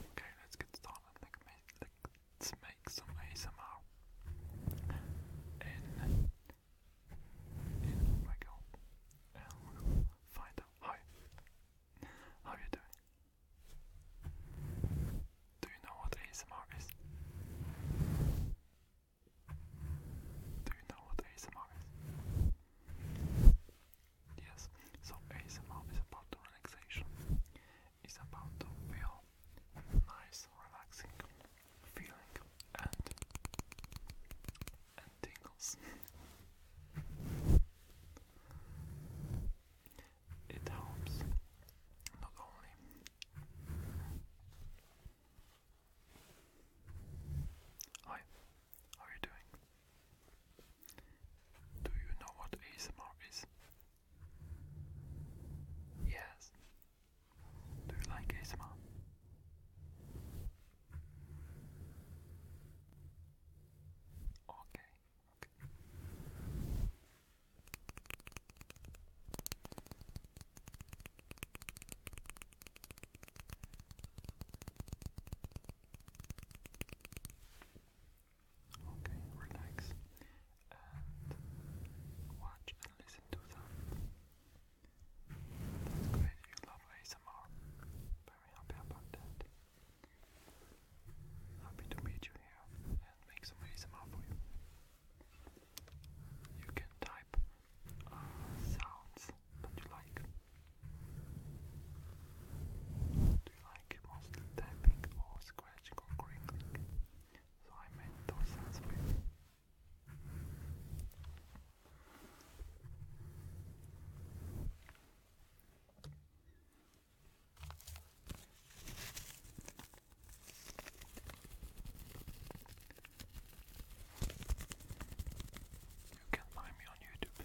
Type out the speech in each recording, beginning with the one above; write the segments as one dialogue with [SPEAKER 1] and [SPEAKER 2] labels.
[SPEAKER 1] Okay, let's get started. Let's make some ASMR. In, in oh my goal, find out how. How are you doing? Do you know what ASMR is? Do you know what ASMR Yes, so ASMR is about relaxation. It's about the real, nice, relaxing feeling and and tingles. It helps not only Hi, how are you doing? Do you know what ASMR is? Yes. Do you like ASMR? Okay. Okay, relax and watch and listen to them. great, you love ASMR. Very happy about that. Happy to meet you here and make some ASMR for you. You can type uh, sounds that you like? Do you like mostly tapping or scratching or crinkling? So I made those sounds for you. You can find me on YouTube.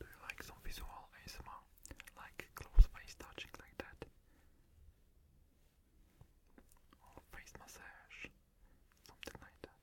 [SPEAKER 1] Do you like some visual ASMR? Like close face touching like that? Or face massage? Something like that.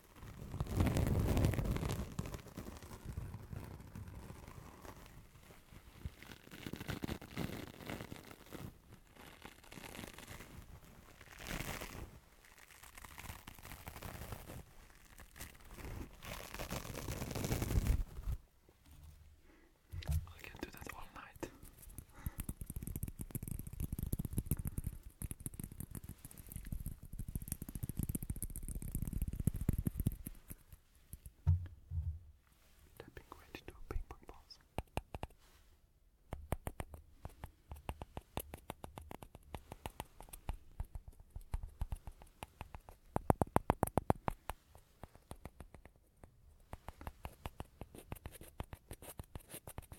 [SPEAKER 1] I can do that all night. Tapping right into a paper pulse. Thank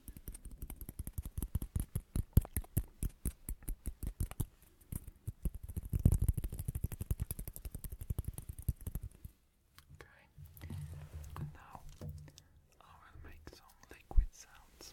[SPEAKER 1] Okay, and now I will make some liquid sounds.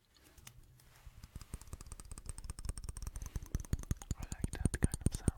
[SPEAKER 1] I like that kind of sound.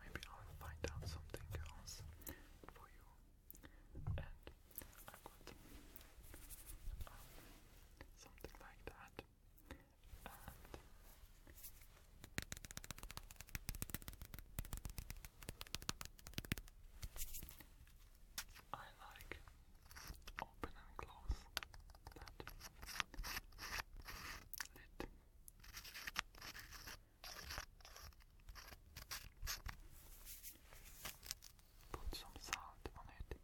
[SPEAKER 1] Maybe I'll find out something else for you and i something like that, I like open and close that lid. Put some salt on it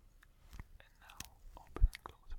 [SPEAKER 1] and now open and close it.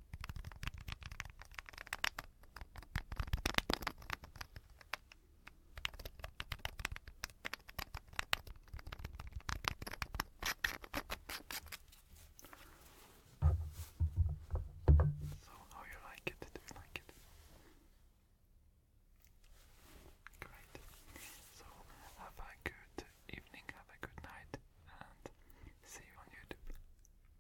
[SPEAKER 1] So how oh, like it? Do like it? Great. So have a good evening, have a good night and see you on YouTube.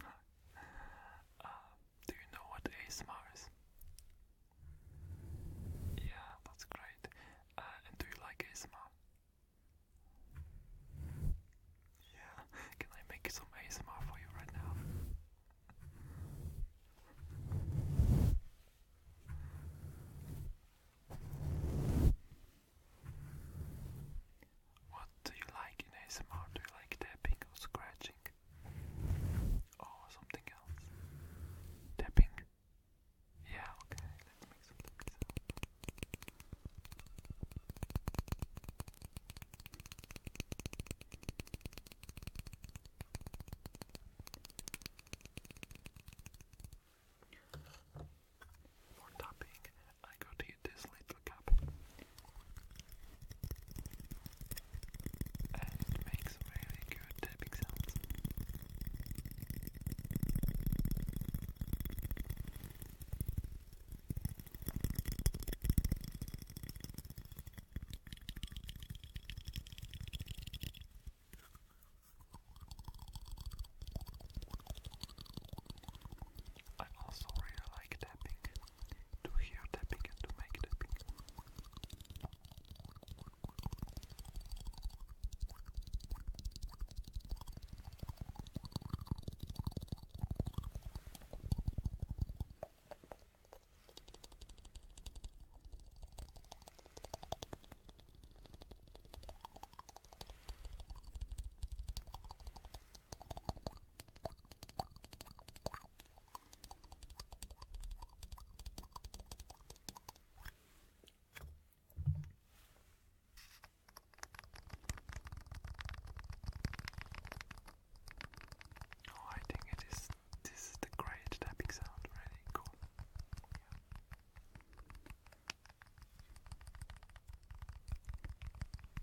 [SPEAKER 1] Uh, do you know what ASMR is? Yeah, that's great. Uh, and do you like ASMR? Yeah, can I make some ASMR for you right now? What do you like in ASMR? Do you like tapping or scratching? Or something else? Tapping? Yeah, okay, for tapping, I got this little cup. it makes really good tapping sounds. I also really like tapping, to hear tapping to make tapping. Oh, I think it is. This is the great tapping sound. Really cool. Yeah.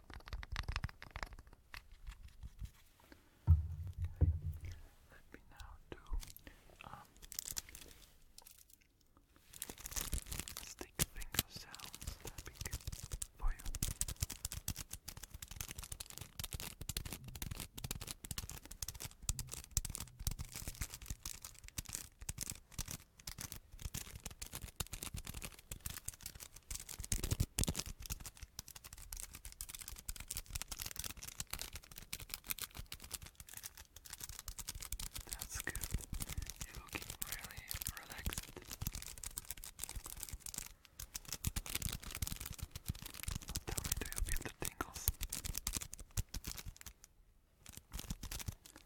[SPEAKER 1] Okay. Let me now do um, stick finger sounds tapping for you. That's good. You're really relaxed. Tell me, do you feel the tingles?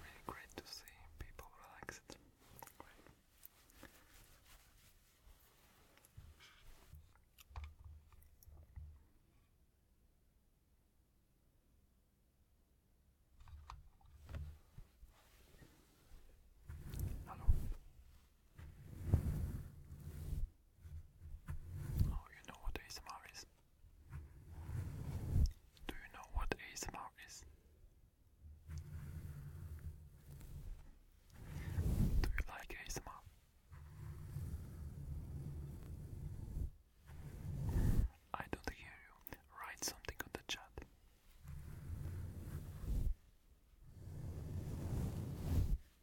[SPEAKER 1] Really great to see people relaxed. Hello. Oh, you know what ASMR is? Do you know what ASMR is? Do you like ASMR? I don't hear you. Write something on the chat.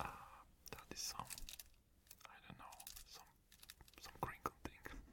[SPEAKER 1] Ah, that is some I don't know, some some crinkle thing.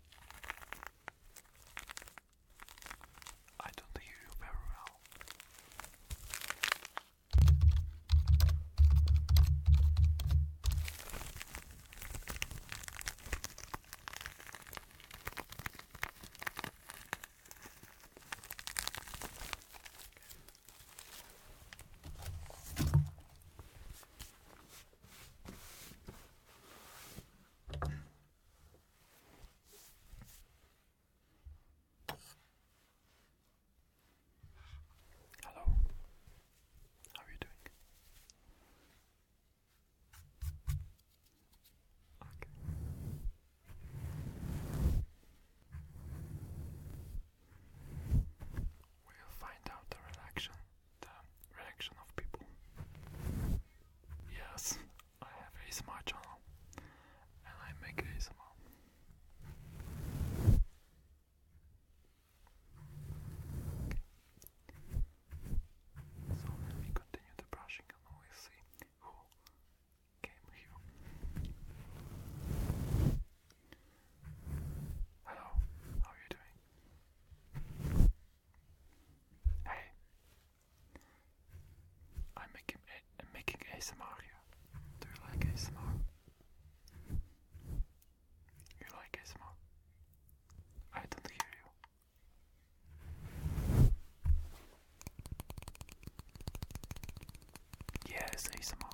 [SPEAKER 1] I don't hear you very well. Hello, how are you doing? We'll find out the reaction the reaction of people. Yes, I have a smart channel and I make a smart. So let me continue the brushing and we see who came here. Hello, how are you doing? Hey, I'm making I'm making ASMR you like ASMR? You like ASMR? I don't hear you. Yes, ASMR.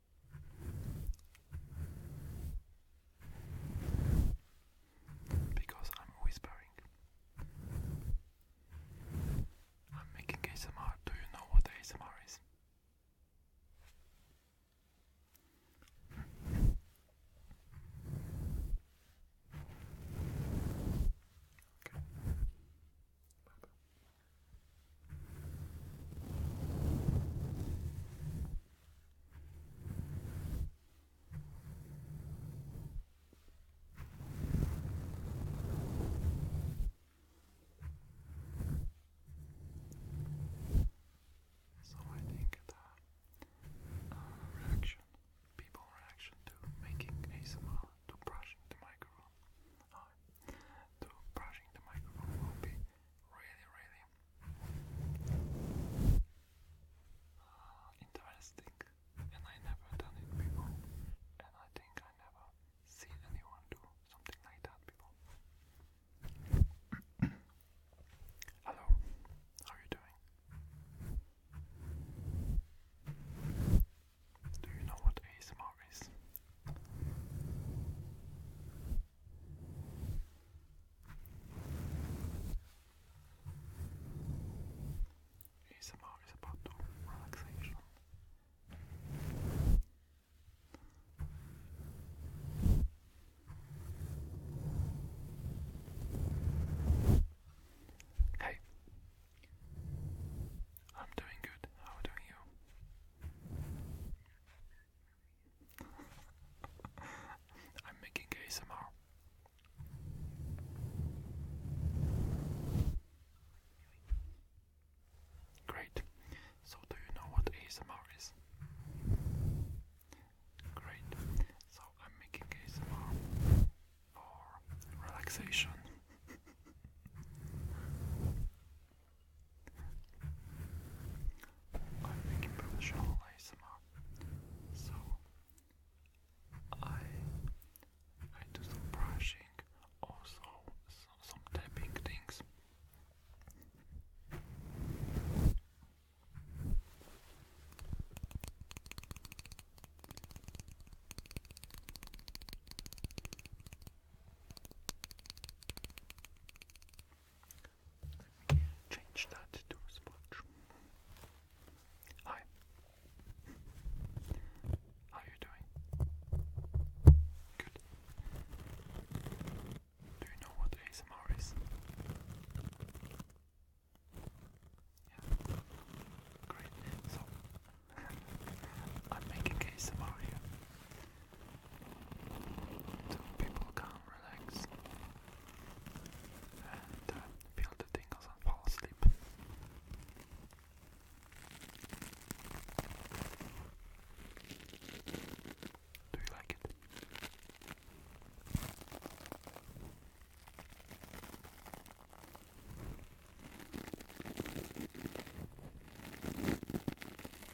[SPEAKER 1] Because I'm whispering. I'm making ASMR. Do you know what ASMR is? Hmm. Okay. So I think the uh, reaction, people reaction to making ASMR, to brushing the microphone, uh, to brushing the microphone will be really, really Interesting. And I never done it before. And I think I never seen anyone do something like that before. Hello, how are you doing? Do you know what ASMR is? ASMR about relaxation. Hey, I'm doing good. How are you? I'm making ASMR. Great. So, do you know what ASMR is? Great. So, I'm making ASMR for relaxation. I'm making professional ASMR, so I I do some brushing, also some tapping things. Change that to a sponge. Hi. How are you doing? Good. Do you know what ASMR is? Yeah. Great. So, I'm making ASMR here so people can relax and uh, feel the tingles and fall asleep. Do you like it?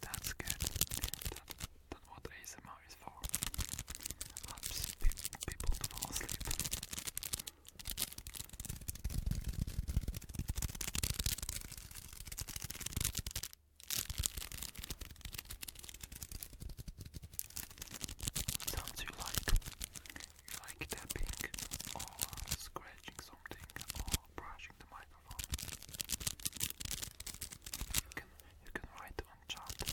[SPEAKER 1] That's good. that's what ASMR is for. Helps people to fall asleep. Sounds you like. You like tapping or scratching something or brushing the microphone. You can you can write on chat.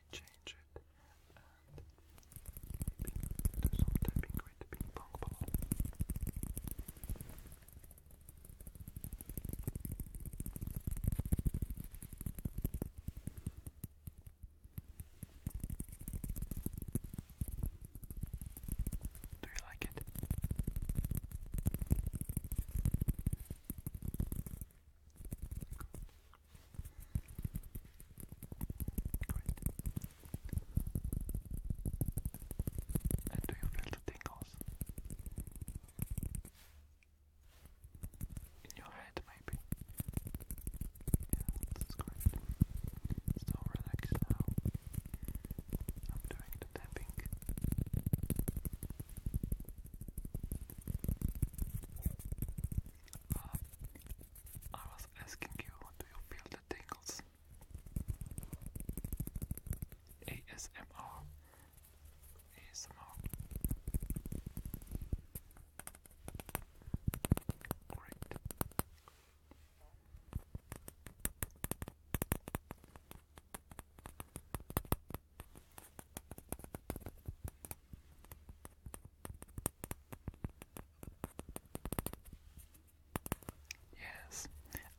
[SPEAKER 1] me change it and maybe do some tapping with the Do you like it? Great. And do you feel the tingles? In your head, maybe? Yeah, that's great. So relax now. I'm doing the tapping. Uh, I was asking you, do you feel the tingles? ASMR. ASMR. Great. Yes,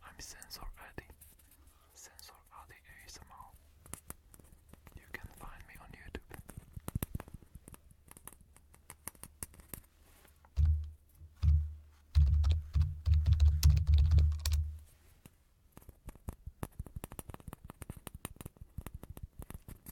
[SPEAKER 1] I'm Sensor Eddie. Sensor Eddie ASMR. You can find me on YouTube.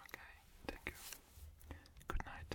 [SPEAKER 1] Okay, thank you. Good night.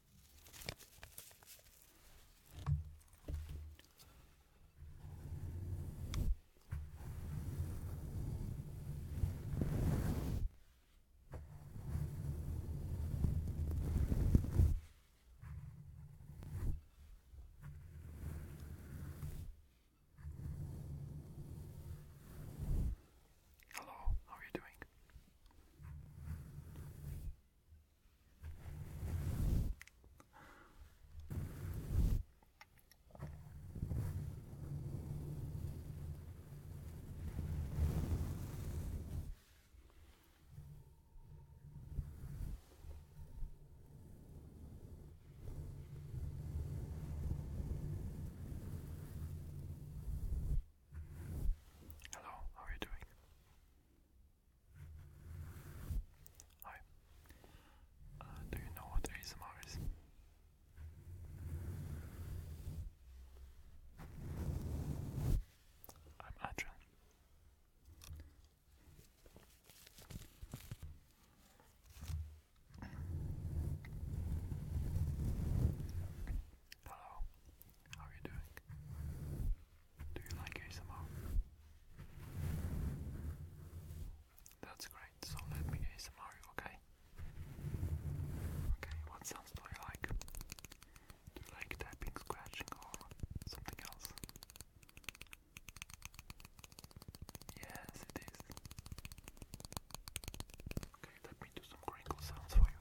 [SPEAKER 1] Hello, how are you doing? Hello, how are you doing? Hi. Uh, do you know what ASMR is? I'm Adrian. Hello, how are you doing? Do you like ASMR? That's great, so let me ASMR okay? Okay, what sounds do you like? Do you like tapping, scratching, or something else? Yes, it is. Okay, let me do some crinkle sounds for you.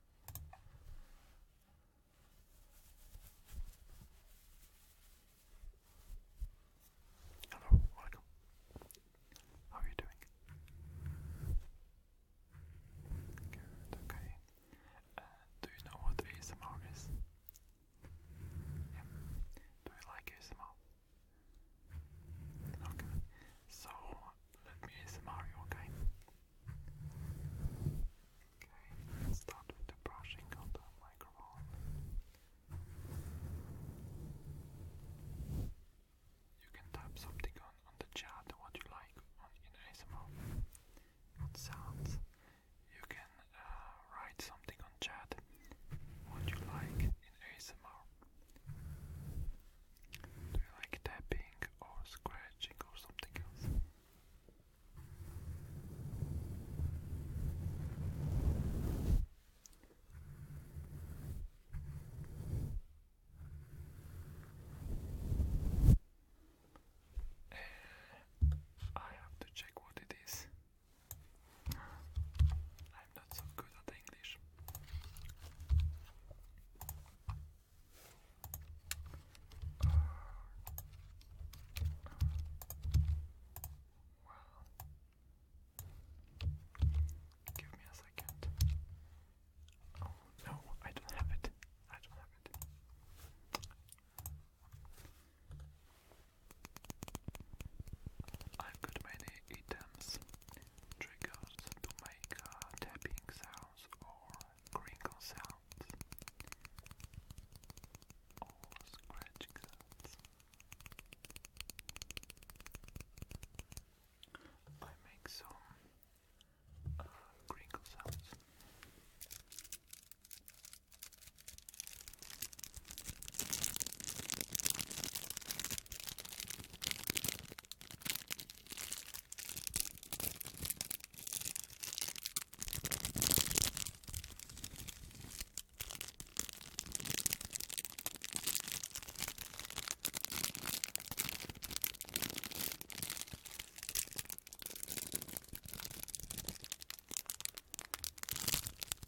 [SPEAKER 1] Hello, welcome. How are you doing? Good, okay. Uh, do you know what ASMR is? Yeah. Do you like ASMR? Okay. So let me ASMR you, okay? Okay, start with the brushing on the microphone. You can type something on, the chat what you like in ASMR. What sounds. You can uh, write something on chat what you like in ASMR. Do you like tapping or scratching or something else? Uh, I have to check what it is. I'm not so good at English. Uh, wow. Give me a second. Oh no, I don't have it. I don't have it. I've got many items triggered to make uh, tapping sounds or crinkle sounds or scratching sounds. I make some uh, sounds.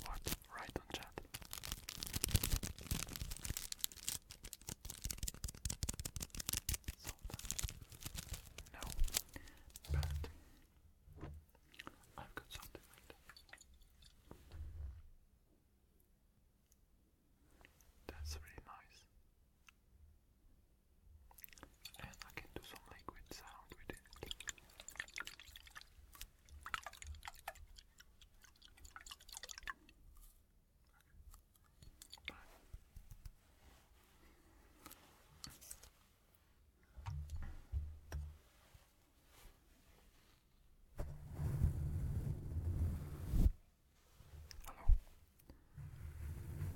[SPEAKER 1] What? Right on chat. No, but I've got something like that. That's really nice. And I can do some liquid sound with it. Hello.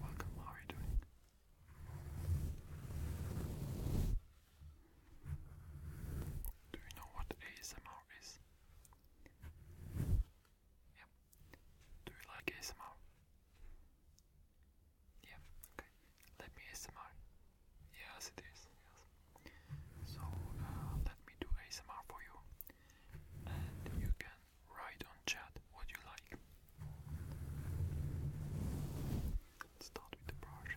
[SPEAKER 1] Welcome, how you doing? Do you know what ASMR is? Yep. Do you like ASMR? Yeah, okay. Let me ASMR. Yes, it is. Yes. So uh, let me do ASMR for you, and you can write on chat what you like. Let's start with the brush.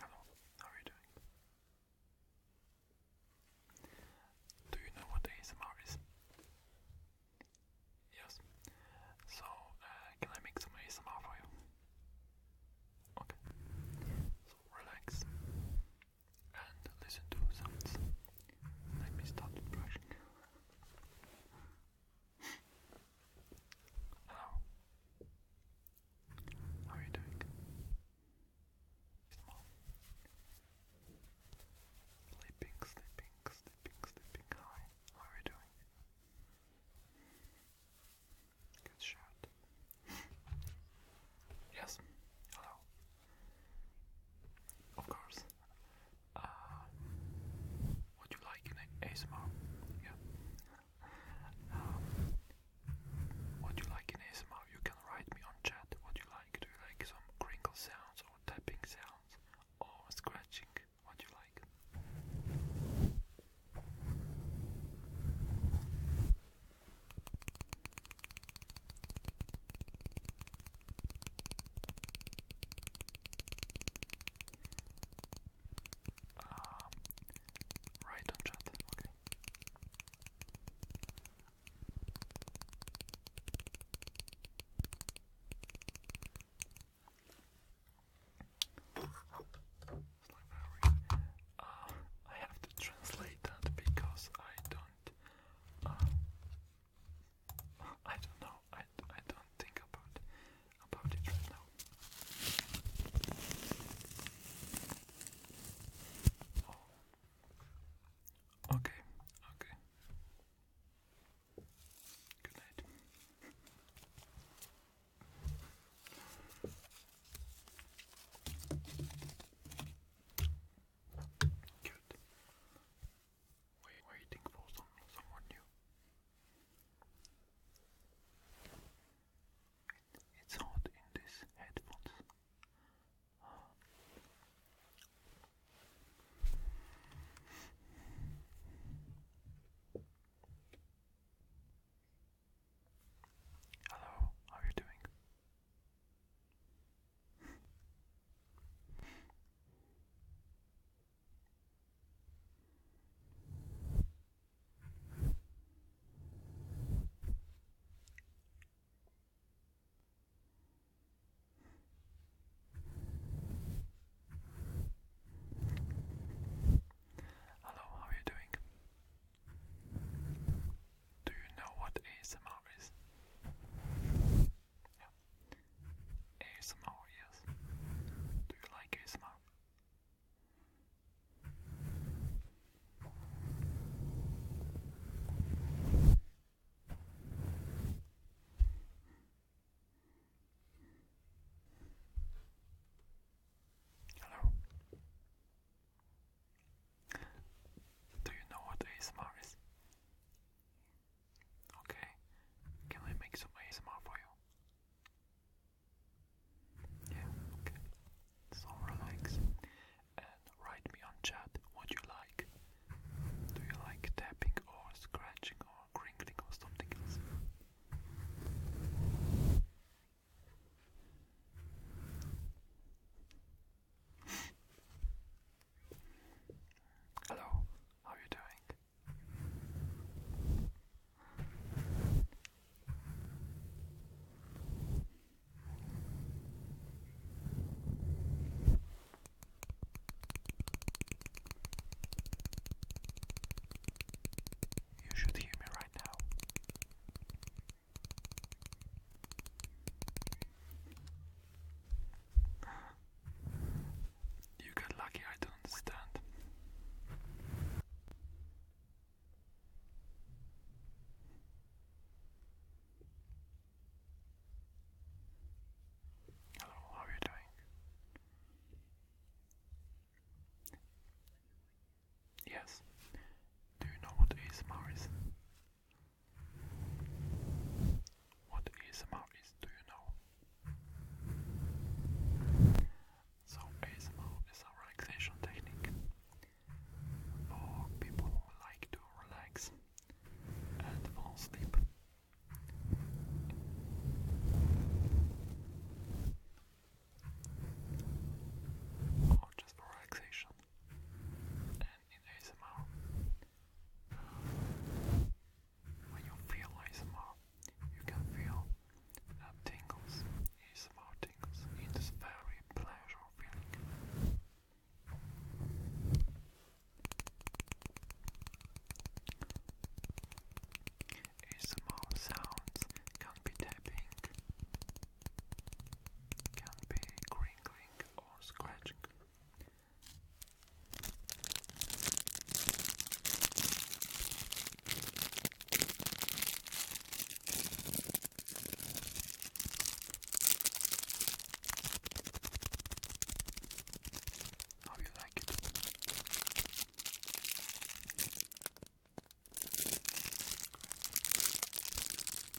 [SPEAKER 1] Hello, how are you doing? Do you know what ASMR is? Yes. So, uh, can I make some ASMR for you? Okay. So, relax and listen to sounds. Let me start brushing. Hello. How are you doing? Small. Sleeping, sleeping, sleeping, sleeping. Hi. How are you doing? Good shot. yes. Hello. Of course. Uh, you like an ASMR? Yeah. Um, you like an ASMR? You can write me on chat. What you like? Do you like some crinkle sounds or tapping sounds or scratching? What you like? Um, right on chat, okay. Uh, I have to translate that because I don't uh, I don't know. I, I don't think about about it right now. Oh. Okay. Okay. Good night. Good. waiting for some, someone new. it's hot in these headphones. Hello, how are you doing? Hello, how are you doing? Do you know what ASMR is? ASMR, yes. Do you like ASMR? Hello. Do you know what ASMR is? Okay, can I make some ASMR for you? Yeah, okay. So relax and write me on chat what you like. Do you like tapping or scratching or crinkling or something else? Hello, how are you doing? You should hear me right now. You got lucky, I don't understand. Hello, how are you doing? Yes. Do you know what ASMR what is ASMR is, do you know? So ASMR is a relaxation technique for people who like to relax and fall asleep. just relaxation in ASMR. When you feel ASMR, you can feel that tingles, ASMR tingles. It is very pleasure feeling. ASMR sounds can be tapping, can be crinkling or scratching. How you like it?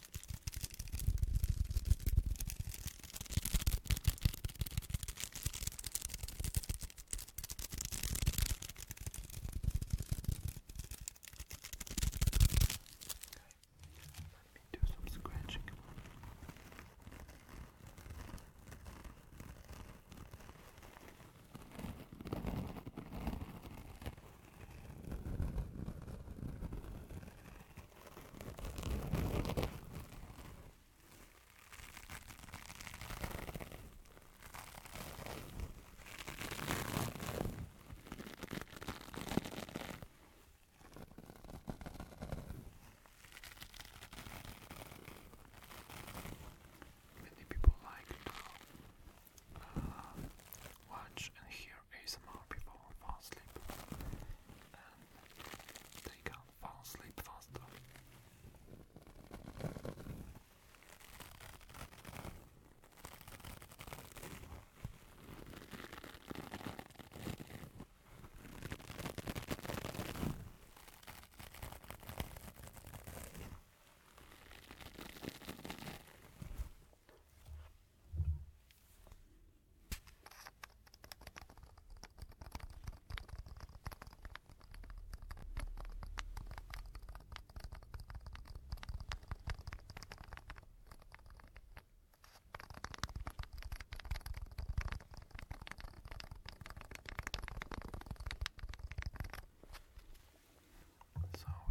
[SPEAKER 1] let me do some scratching. Okay. Many people like to uh, watch and hear ASMR before I fall asleep, and um, they can't fall faster. So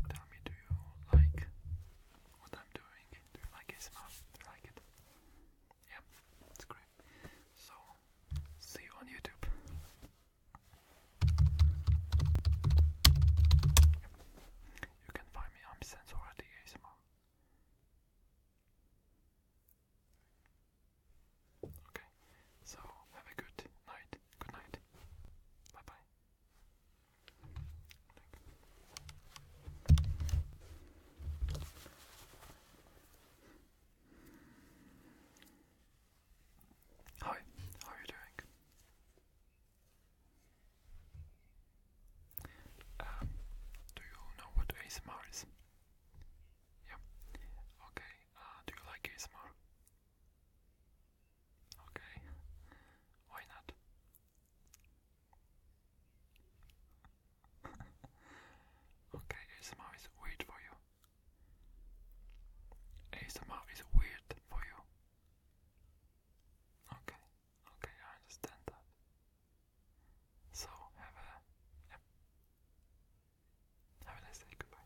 [SPEAKER 1] tell me, do you like what I'm doing. Do you like ASMR? Do like it? Yeah, it's great. So, see you on YouTube. You can find me, I'm Sensority ASMR. Okay, so have a good night. Good night. Bye bye. Hi, how are you doing? Um, do you know what ASMR is? Yeah. Okay. Uh, do you like ASMR? Okay. Why not? okay, ASMR is weird for you. ASMR is weird for you. Okay, okay, I understand that. So have a have a nice day. Goodbye.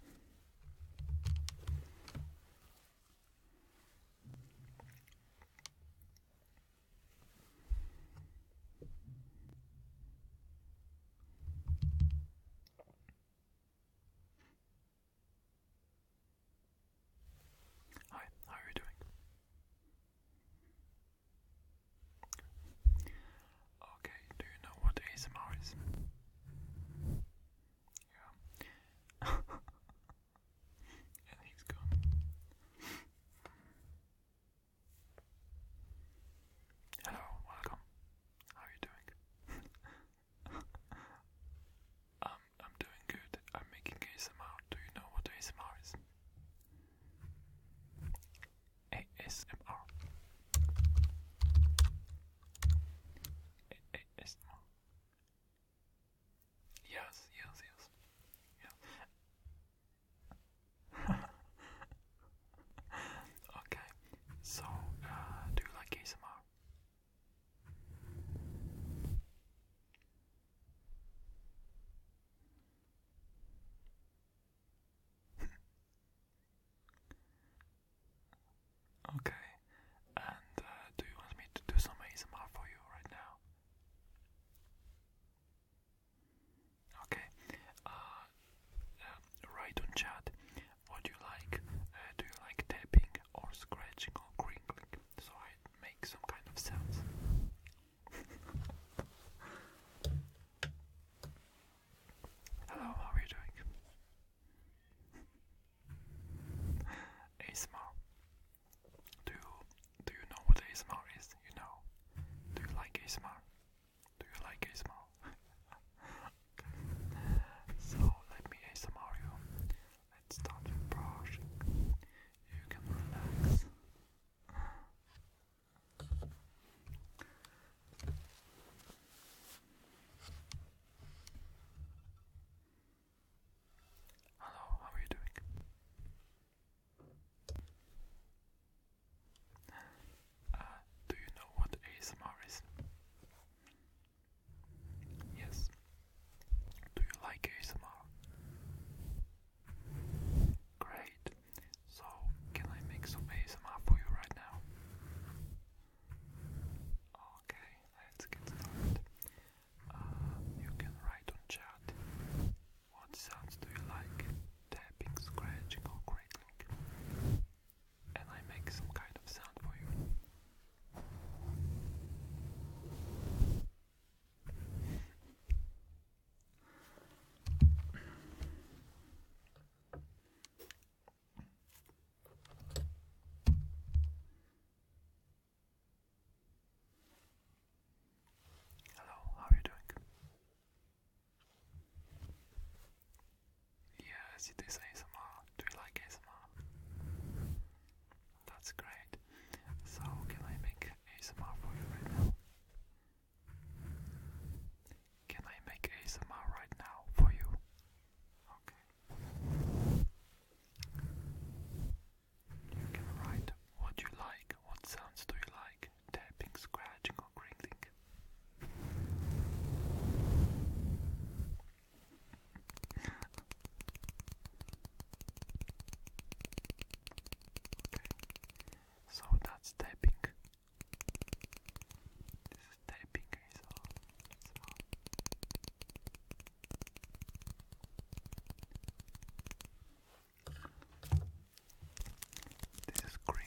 [SPEAKER 1] Hi, how are you doing? Okay, do you know what ASMR is? Yeah. Hello, welcome. How are you doing? I'm I'm doing good. I'm making ASMR. Do you know what ASMR is? ASMR. ASMR. Yes, yes, yes. okay, so uh, do you like ASMR? okay, and uh, do you want me to do some ASMR for you right now? Okay. Uh, uh, write on chat what you like. Uh, do you like tapping or scratching or crinkling? So I make some kind of sounds. Hello, how are you doing? ASMR. Do you do you know what ASMR is? You know? Do you like ASMR? Do you like ASMR? so let me ASMR you. Let's start with brush. You can relax. Hello, how are you doing? do you know what ASMR is? Yes. Do you like ASMR? Great. So, can I make some ASMR for you right now? Okay, let's get started. Um, you can write on chat what sounds do you like, tapping, scratching or crackling, and I make some kind of sound for you. Hello, how are you doing? Yes, it is ASMR. Do you like ASMR? That's great. So, can I make ASMR for you right now? Can I make ASMR right now for you? Okay. You can write what you like, what sounds do you like, tapping, scratching, or crinkling. so that's tapping. This is tapping, eh, this is crinkly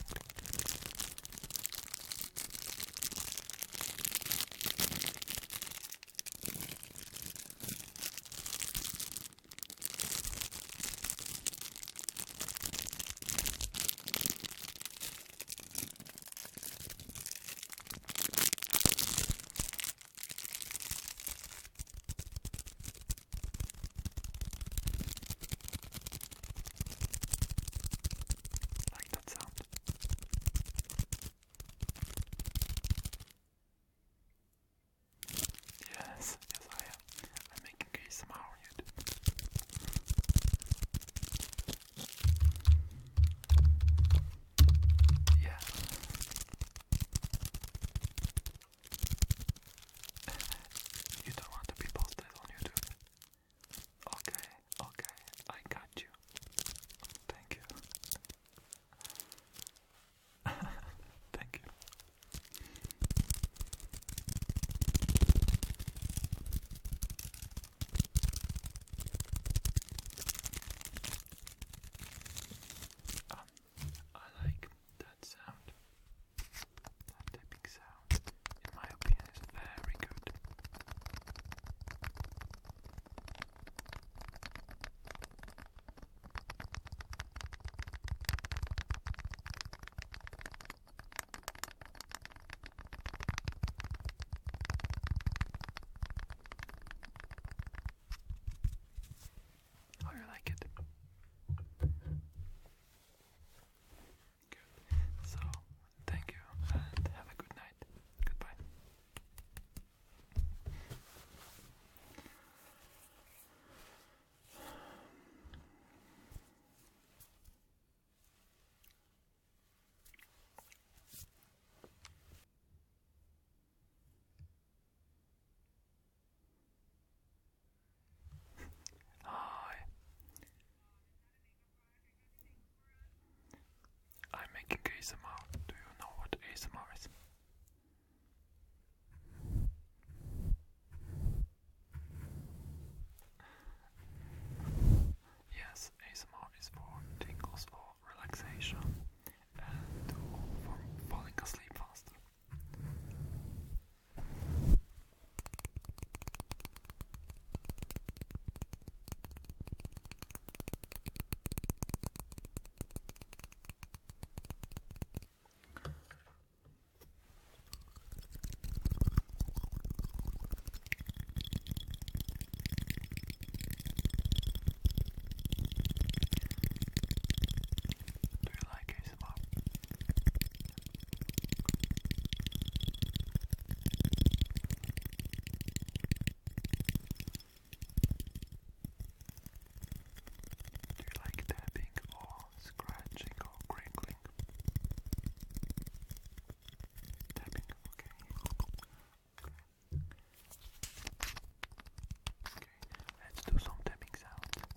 [SPEAKER 1] like that sound. Yes, yes I am. I'm making a somehow on YouTube. Yeah you don't want to be posted on YouTube. Okay, okay, I got you. Thank you. Thank you. Ah, I like that sound. That tapping sound, in my opinion, very good. How oh, like it? Good. So, thank you and have a good night. Goodbye. Hi. I'm making ASMR. Do you know what ASMR is? Yes, ASMR is for tingles for relaxation and uh, from falling asleep faster. Do you like tapping or scratching or crinkling? Tapping, okay let's do some tapping sound.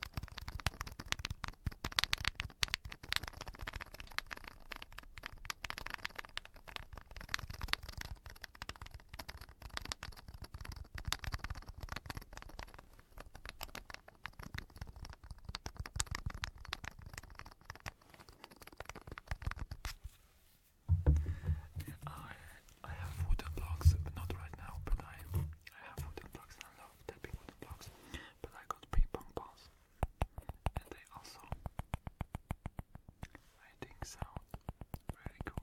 [SPEAKER 1] I I have wooden blocks, not right now, but I, I have wooden blocks I love tapping wooden blocks. But I got ping balls. And they also I think sound really cool.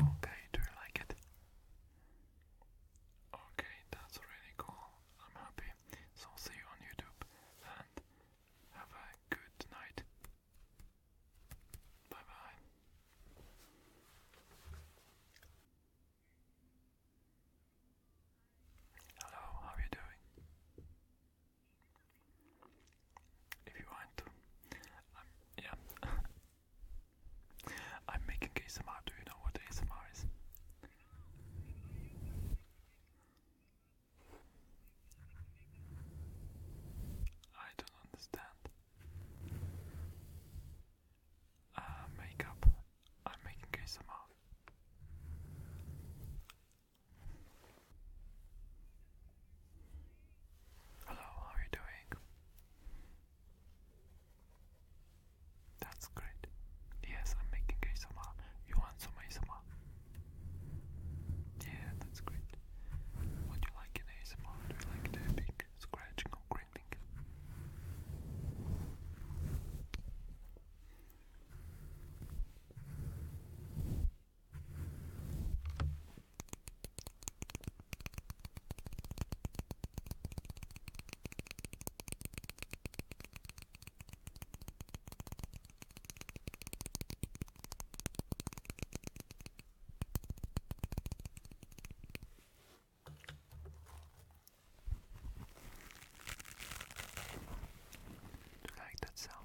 [SPEAKER 1] Okay, do you like it? Okay, that's really cool. I'm happy. So I'll see you on YouTube and have a good night. Bye bye. Hello, how are you doing? If you want to, yeah. I'm making ASMR. Do you know what ASMR is? I don't understand. Uh, makeup. I'm making ASMR. Hello, how are you doing? That's great. Yes, I'm making ASMR. You want some ASMR? Yeah, that's great. What do you like in ASMR? Do you like tapping, scratching, or grinding? Do you like that sound?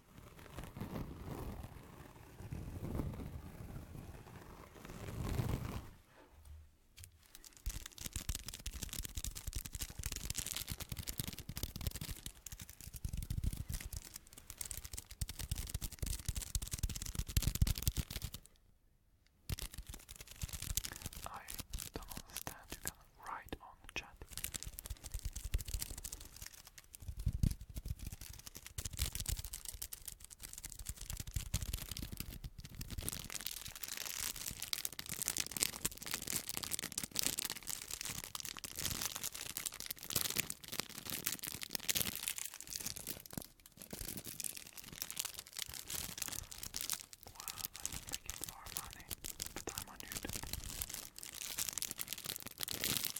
[SPEAKER 1] I don't understand, you can write on chat. Wow, I'm making more money, but I'm on YouTube.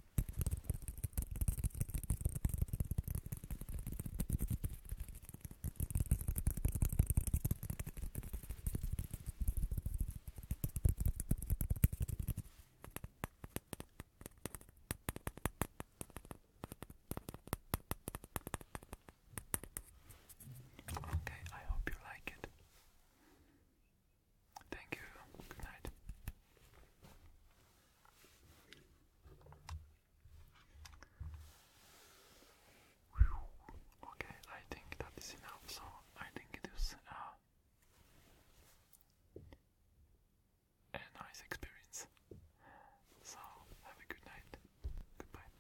[SPEAKER 1] Okay, I hope you like it. Thank you. Good night. Okay, I think that is enough. So I think it was uh, a nice experience. So have a good night. Goodbye.